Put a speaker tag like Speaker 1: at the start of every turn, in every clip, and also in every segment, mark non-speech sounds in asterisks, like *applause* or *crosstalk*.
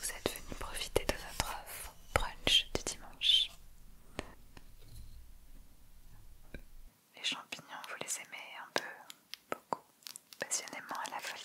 Speaker 1: Vous êtes venu profiter de notre offre brunch du dimanche. Les champignons, vous les aimez un peu, beaucoup, passionnément à la folie.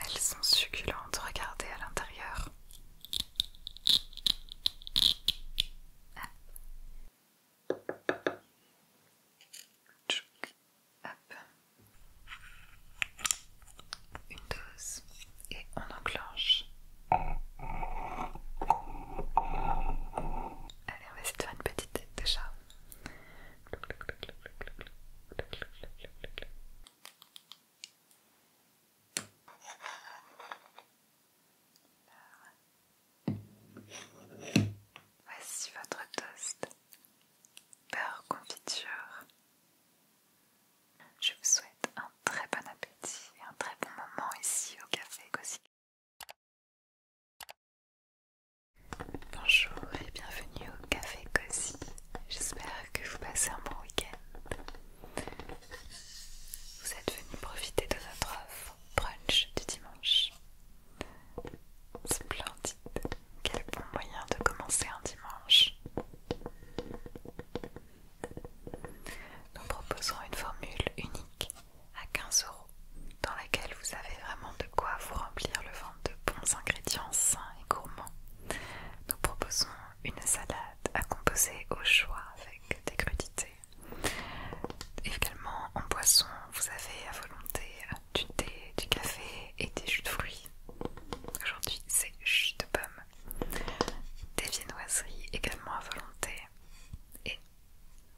Speaker 1: Elles sont succulentes, regardez à l'intérieur. Une dose et on enclenche. Allez, on va essayer de faire une petite tête de chat. Voici votre toast. Beurre confiture. Je vous souhaite un très bon appétit et un très bon moment ici au café Cozy. Bonjour et bienvenue au café Cozy. J'espère que vous passez un bon week-end. Vous êtes venu profiter de notre offre brunch du dimanche. Splendide, quel bon moyen de commencer un dimanche. Nous proposons une formule unique à 15 euros dans laquelle vous avez vraiment de quoi vous remplir le ventre de bons ingrédients sains et gourmands. Nous proposons une salade à composer au choix avec des crudités. Également en boisson, vous avez à volonté du thé, du café et des jus de fruits. Aujourd'hui, c'est jus de pommes Des viennoiseries également à volonté et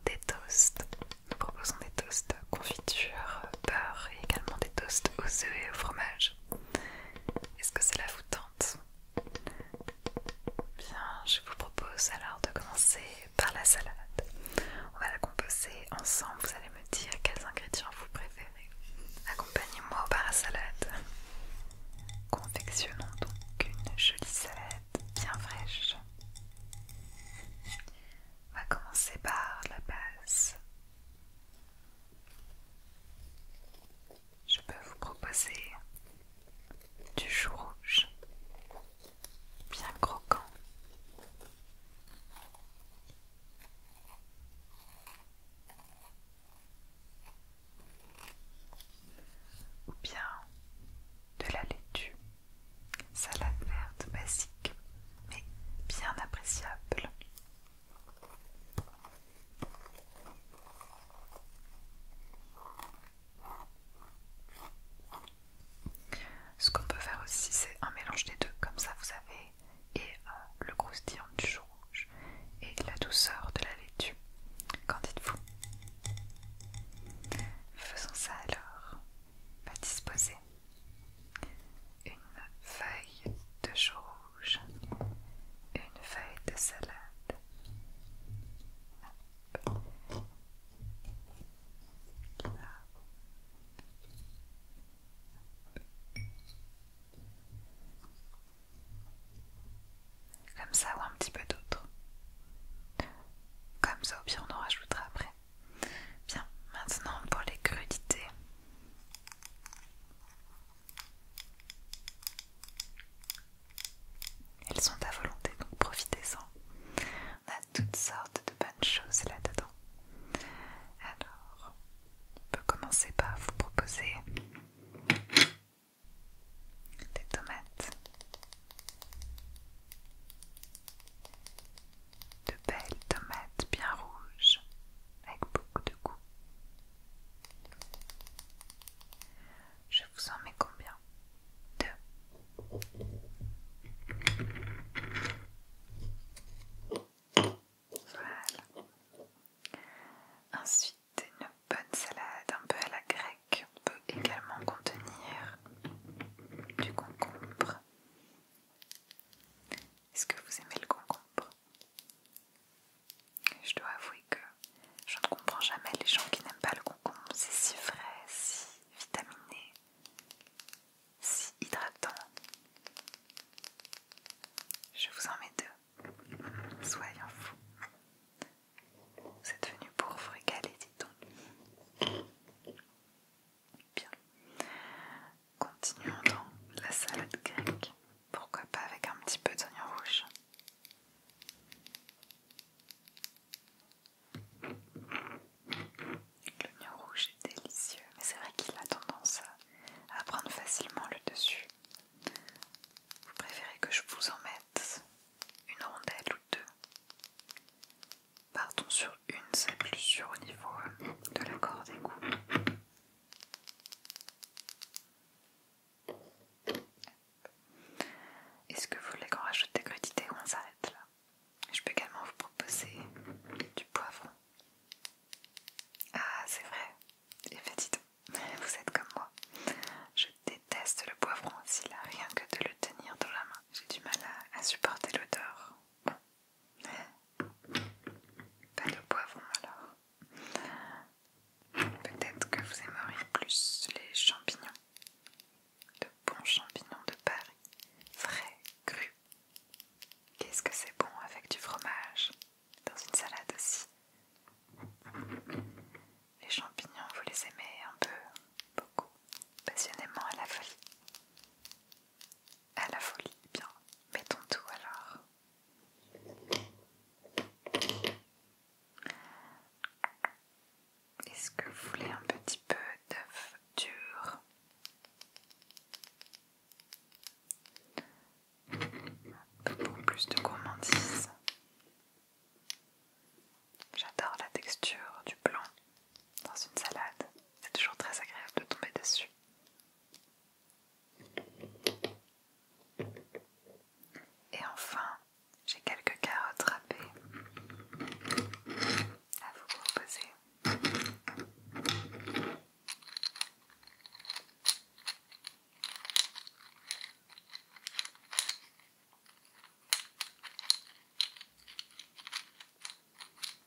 Speaker 1: des toasts. Nous proposons des toasts confiture, beurre et également des toasts aux œufs et au fromage. Est-ce que cela vous tente Bien, je vous propose alors de commencer par la salade. On va la composer ensemble, vous allez me dire quels ingrédients vous préférez. Accompagnez-moi au la salade. Confectionnons donc une jolie salade bien fraîche. On va commencer par la base. Je peux vous proposer du chou rouge, bien croquant ou bien de la laitue, salade verte basique mais bien appréciable. Ce qu'on peut faire aussi, c'est un mélange des deux, comme ça vous avez et euh, le croustillant du jour rouge et la douceur de la laitue. Qu'en dites-vous Faisons ça alors. Va disposer une feuille de chou rouge, une feuille de salade, comme ça ou un petit peu d'autre. Comme ça, ou bien on en rajoutera après. Bien, maintenant pour les crudités. Elles sont à volonté, donc profitez-en. On a toutes sortes de bonnes choses là-dedans. Alors, on peut commencer par vous proposer des tomates, de belles tomates bien rouges avec beaucoup de goût. Je vous en mets combien Deux. Voilà. Ensuite, c'est une bonne salade un peu à la grecque peut également contenir du concombre. Est-ce que vous aimez le concombre Je dois avouer que je ne comprends jamais les gens qui n'aiment pas le concombre. C'est si frais, si vitaminé, si hydratant. Je vous en mets deux. Soyons fous. C'est venu pour vous régaler, dit-on. Bien. Continuons dans la salade grecque. Pourquoi pas avec un petit peu d'oignon rouge L'oignon rouge est délicieux, mais c'est vrai qu'il a tendance à prendre facilement le dessus. Vous préférez que je vous en mette une rondelle ou deux Partons sur une, c'est plus sûr au niveau de la corde coupe. Est-ce que vous voulez qu'on rajoute des crudités ou on s'arrête là Je peux également vous proposer du poivron. Ah, c'est vrai, les fait, vous êtes comme moi. Je déteste le poivron aussi là, rien que de le tenir dans la main. J'ai du mal à, supporter l'odeur. Pas de poivron alors. Peut-être que vous aimeriez plus les champignons. De bons champignons de Paris. Frais, cru. Qu'est-ce que c'est bon avec du fromage dans une salade aussi les champignons, vous les aimez un peu, beaucoup, passionnément à la folie. À la folie, bien. Mettons tout alors. Est-ce que vous voulez un petit peu d'œuf dur pour plus de gourmandise J'adore la texture du blanc dans une salade, c'est toujours très agréable de tomber dessus. Et enfin, j'ai quelques carottes râpées à vous proposer.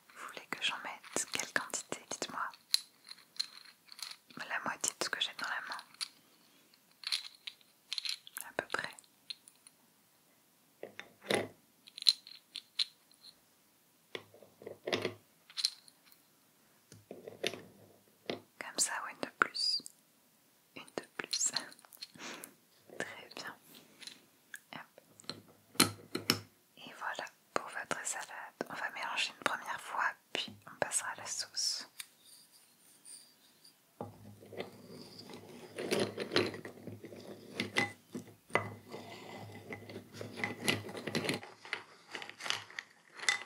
Speaker 1: Vous voulez que j'en mette Quelle quantité Dites-moi. La moitié de ce que j'ai dans la main. À peu près. Comme ça, ou une de plus une de plus. *laughs* Très bien. Et voilà pour votre salade. On va mélanger une première fois, puis on passera à la sauce.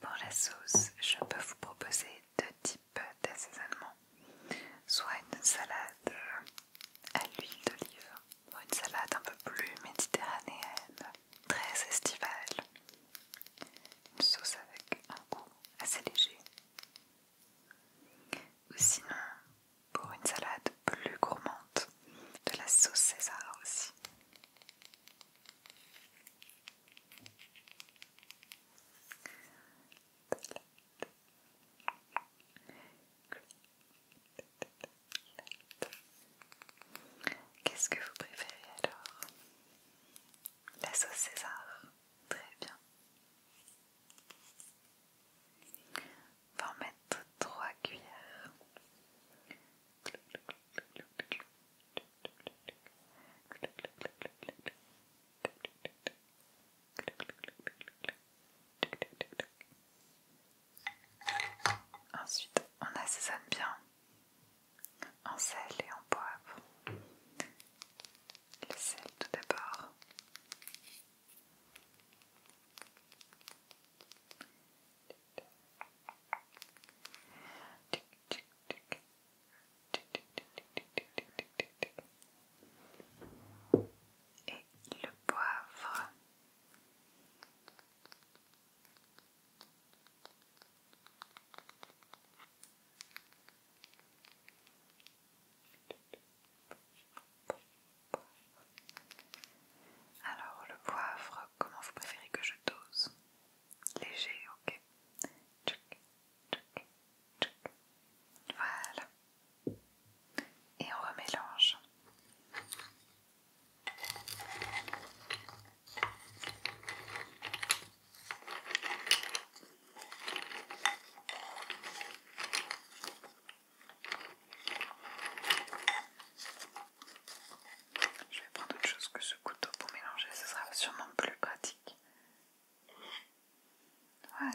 Speaker 1: Pour la sauce, je peux vous proposer deux types d'assaisonnement. Soit une salade euh, à l'huile d'olive, ou une salade un peu plus méditerranéenne, très estivale. Une sauce avec un goût assez léger. Ou sinon, pour une salade plus gourmande, de la sauce César aussi. Qu'est-ce que vous préférez alors La sauce César, très bien. On va en mettre trois cuillères. Ensuite, on assaisonne bien en sel et en poivre. Le sel tout d'abord. Et le poivre. Alors le poivre, comment vous préférez que je dose léger, ok tchouk, tchouk, tchouk. Voilà. Et on remélange. Je vais prendre autre chose que ce couteau pour mélanger, ce sera sûrement plus pratique. Voilà,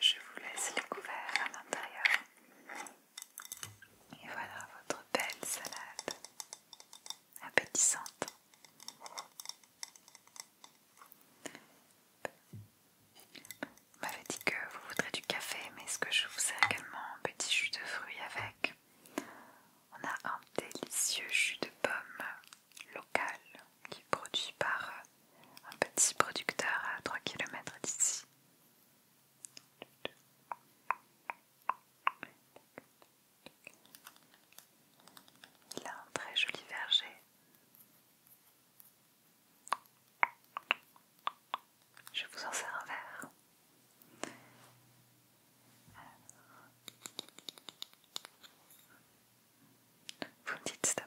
Speaker 1: Je vous laisse les couverts à l'intérieur. Et voilà votre belle salade appétissante. Vous m'avez dit que vous voudrez du café, mais ce que je vous sers également un petit jus de fruits avec. On a un délicieux jus de pomme local qui est produit par euh, un petit producteur à 3 km d'ici. Il a un très joli verger. Je vous en sers un verre. Vous me dites stop.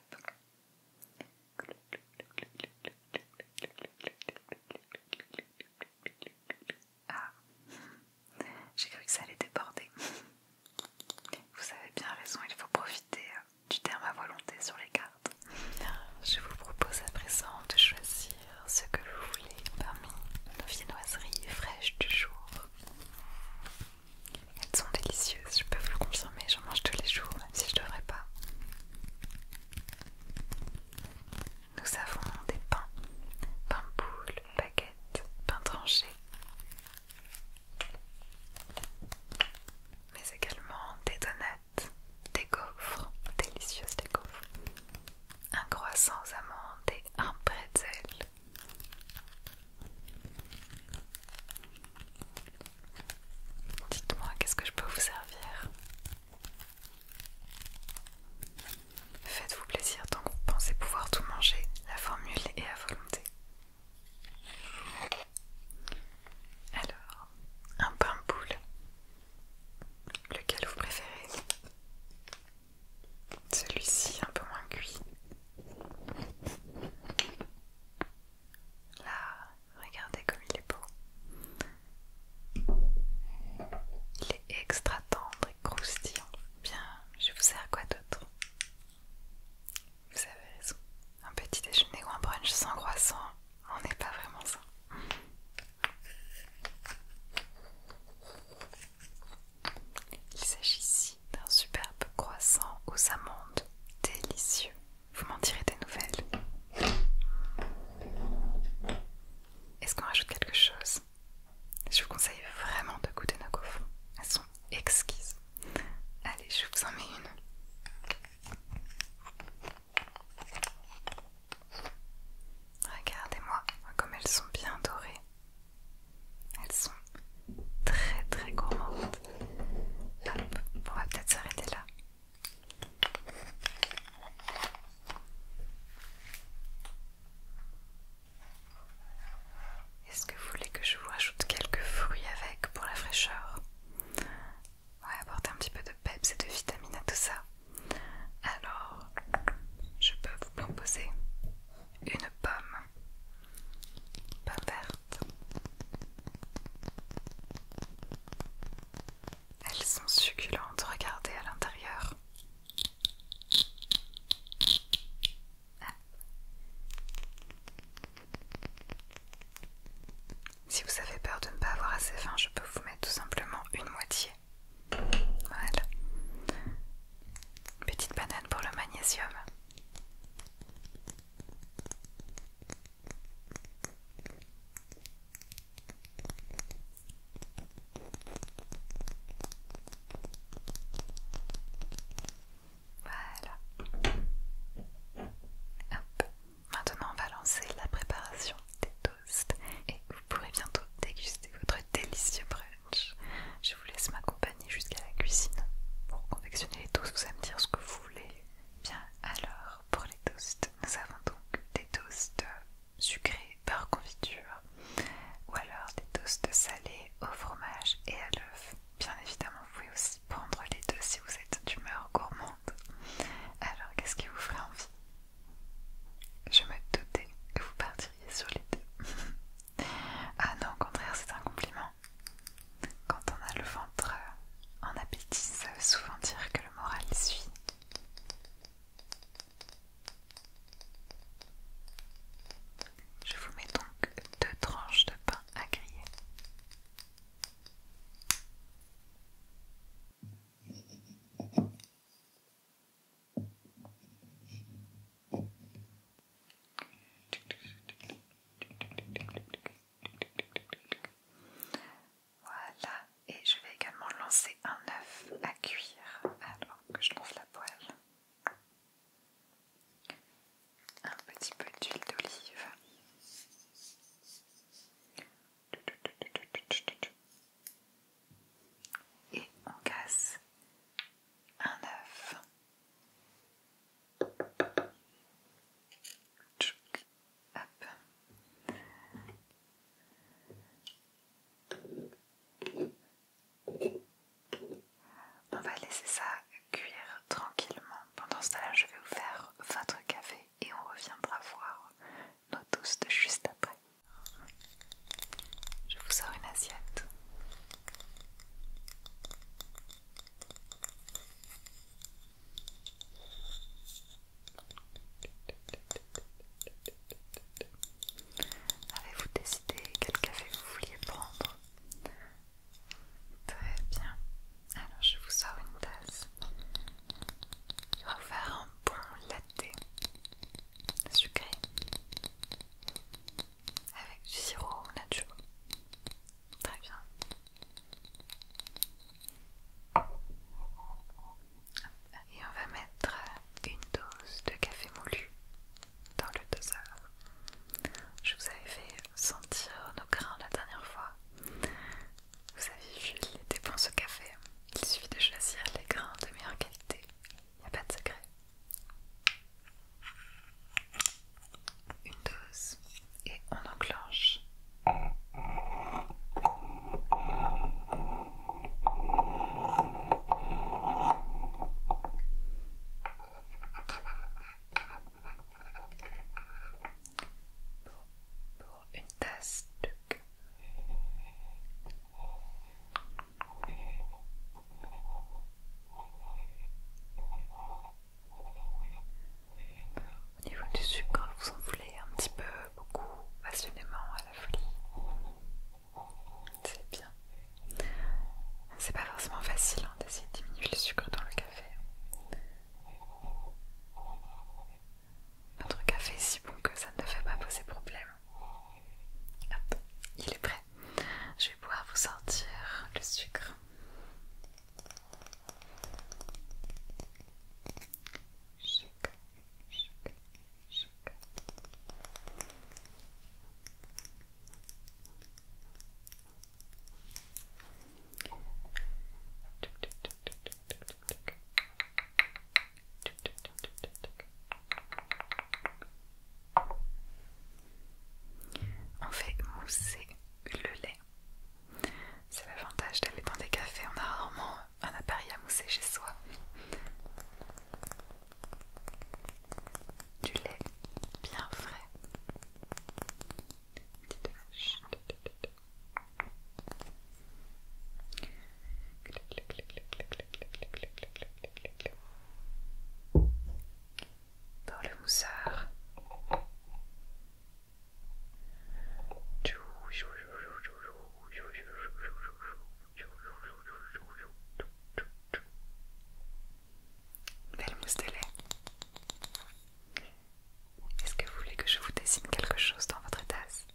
Speaker 1: Ah. j'ai cru que ça allait déborder. Vous avez bien raison, il faut profiter hein, du terme à volonté sur les cartes. Je vous propose à présent de choisir ce que vous voulez parmi nos viennoiseries fraîches du jour. Elles sont délicieuses, je peux vous le consommer, j'en mange tous les jours, même si je ne devrais pas. Nous avons des pains, pain boule, baguette, pain tranché, mais également des donuts, des gaufres, délicieuses des gaufres, un croissant aux amandes et un pretzel. Dites-moi, qu'est-ce que je peux vous servir Faites-vous plaisir donc, vous pensez pouvoir tout manger, la formule est à volonté. Alors, un pain boule, lequel vous préférez celui-ci un peu moins cuit. Là, regardez comme il est beau. Il est extra tendre et croustillant. Bien, je vous sers quoi d'autre Vous avez raison. Un petit déjeuner ou un brunch sans croissant, on n'est pas vraiment ça. Il s'agit ici d'un superbe croissant aux amandes, délicieux. Vous m'en direz des nouvelles. Est-ce qu'on rajoute quelque chose Je vous conseille vraiment de goûter nos gaufres. Elles sont exquises. Allez, je vous en mets une. Regardez-moi comme elles sont bien dorées. Elles sont très très gourmandes. Hop, on va peut-être s'arrêter là. Est-ce que vous voulez que je vous rajoute quelques fruits avec pour la fraîcheur Ouais, apporter un petit peu de peps et de vitamines à tout ça. Alors, je peux vous proposer une pomme, pas verte. Elles sont succulentes, regardez à l'intérieur. Ah. Si vous avez peur de ne pas avoir assez faim, je peux vous mettre tout simplement une moitié. Voilà. Petite banane pour le magnésium. Voilà. Maintenant, on va lancer la préparation des toasts et vous pourrez bientôt déguster votre délicieux breuvage. Je vous laisse m'accompagner jusqu'à la cuisine pour confectionner les toasts. Vous allez me dire ce que vous voulez. Bien, alors pour les toasts, nous avons donc des toasts sucrés par confiture ou alors des toasts salés au fromage et à l'œuf. Bien évidemment, vous pouvez aussi prendre les deux si vous êtes d'humeur gourmande. Alors, qu'est-ce qui vous ferait envie Je me doutais que vous partiriez sur les deux. *laughs* Ah non, au contraire, c'est un compliment. Quand on a le ventre euh, en appétit, ça veut souvent dire que le moral suit. Je vous mets donc deux tranches de pain à griller. Voilà, et je vais également lancer un œuf à cuire alors que je trouve la poêle. Un petit peu d'huile d'olive et on casse un œuf. On va laisser ça cuire tranquillement. Pendant ce temps-là, je vais vous faire votre café et on reviendra voir nos toasts juste après. Je vous sors une assiette. Avez-vous décidé quel café vous vouliez prendre Très bien. Alors je vous sors une tasse. va vous faire un bon latte sucré avec du sirop nacho. Très bien. Et on va mettre une dose de café moulu dans le doseur. Je vous avais fait sentir nos grains la dernière fois. Vous avez vu les dépenses au café. Il suffit de choisir les grains de meilleure qualité il n'y a pas de secret. Une dose et on enclenche. Pour, une tasse de au niveau du sucre, vous en voulez un petit peu, beaucoup, passionnément, à la folie. C'est bien. C'est pas forcément facile hein, d'essayer de diminuer le sucre dans le café. Notre café est si bon que ça ne fait pas poser problème il est prêt. Je vais pouvoir vous sortir le sucre. On fait mousser le lait. C'est l'avantage d'aller dans des cafés, on a rarement un appareil à mousser chez soi. Du lait bien frais. Dans le moussard. Belle mousse de lait. Est-ce que vous voulez que je vous dessine quelque chose dans votre tasse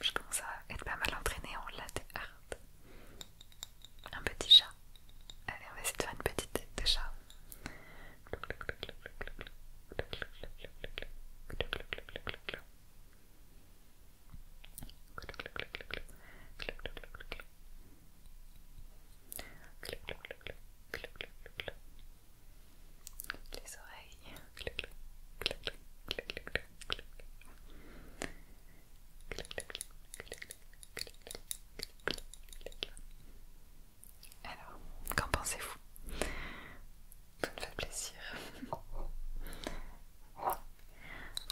Speaker 1: je commence à être pas mal entraînée en latte art. Un petit chat. Allez, on va essayer de faire une petite de chat. Les oreilles. Alors, qu'en pensez-vous Vous me fait plaisir.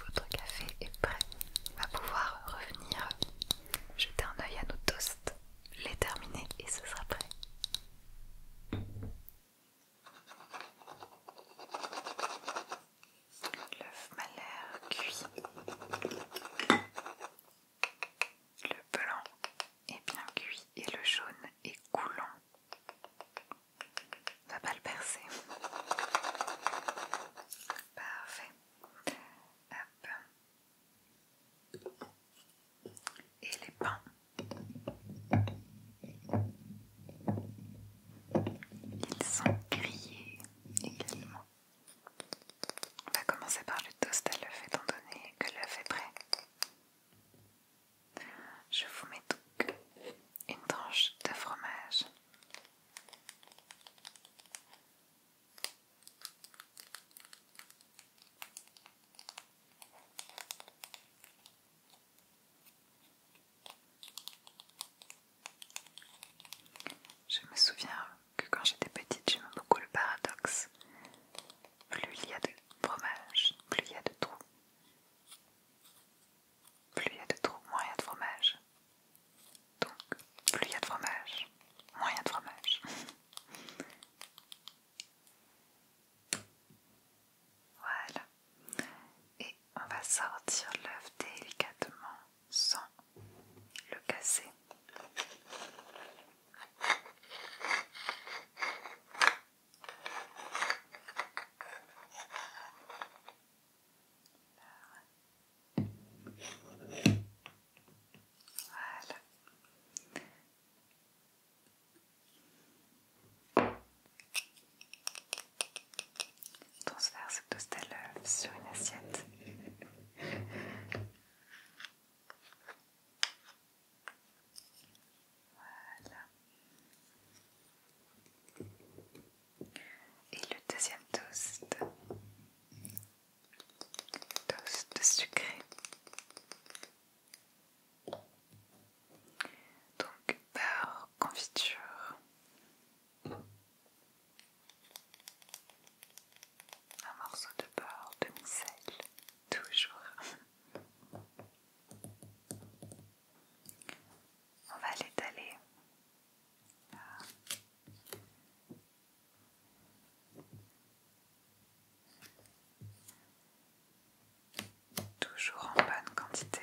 Speaker 1: Votre café est prêt. On va pouvoir revenir jeter un œil à nos toasts, les terminer et ce sera prêt. L'œuf m'a cuit. Le blanc est bien cuit et le jaune est coulant. On va pas le percer. Parfait. Et les pains. Ils sont grillés également. On va commencer par le toast à l'œuf étant donné que l'œuf est prêt. Je vous mets donc une tranche de fromage. Je me souviens que quand j'étais petite, j'aimais beaucoup le paradoxe. Plus il y a de fromage, plus il y a de trous. Plus il y a de trous, moins il y a de fromage. Donc, plus il y a de fromage, moins il y a de fromage. *laughs* Voilà. Et on va sortir l'œuf délicatement sans le casser. Voilà. Transfère ce toast à euh, l'œuf sur une assiette. Voilà. Et le deuxième toast. Toast sucré. Donc beurre, confiture. Un morceau de beurre demi-sel, toujours. On va l'étaler. Toujours en bonne quantité.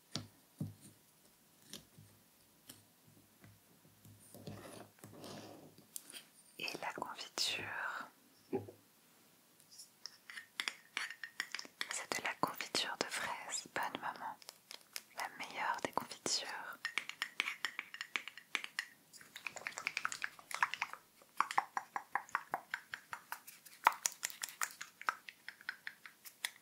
Speaker 1: Et la confiture, c'est de la confiture de fraises, bonne maman, la meilleure des confitures.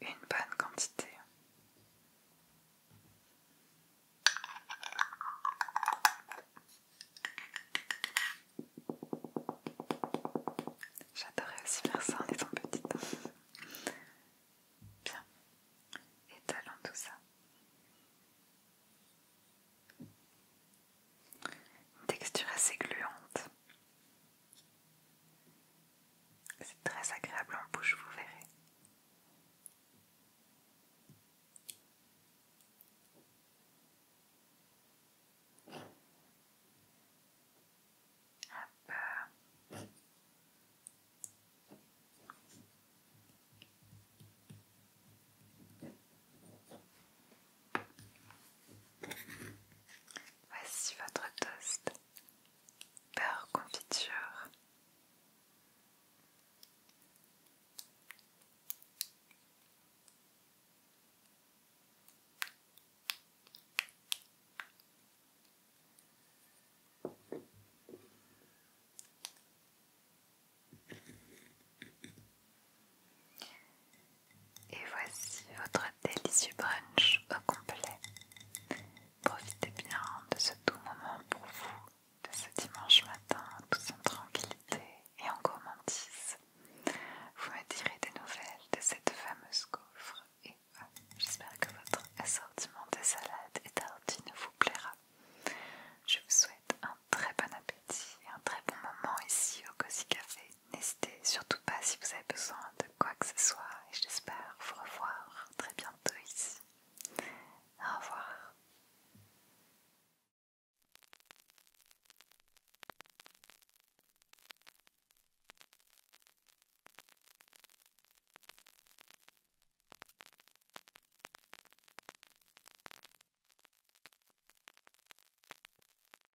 Speaker 1: Une bonne quantité. J'adorais aussi faire ça en étant petite. Bien. Étalons tout ça. Une texture assez gluante. C'est très agréable en bouche, vous verrez. Voici votre toast. Beurre confiture. Et voici votre délicieux brunch au complet. Profitez bien de ce doux moment pour vous, de ce dimanche matin, tout en tranquillité et en gourmandise. Vous me direz des nouvelles de cette fameuse coffre. et euh, j'espère que votre assortiment de salades et ne vous plaira. Je vous souhaite un très bon appétit et un très bon moment ici au Cozy Café N'hésitez surtout pas si vous avez besoin de quoi que ce soit et j'espère vous revoir très bientôt ici. Au revoir.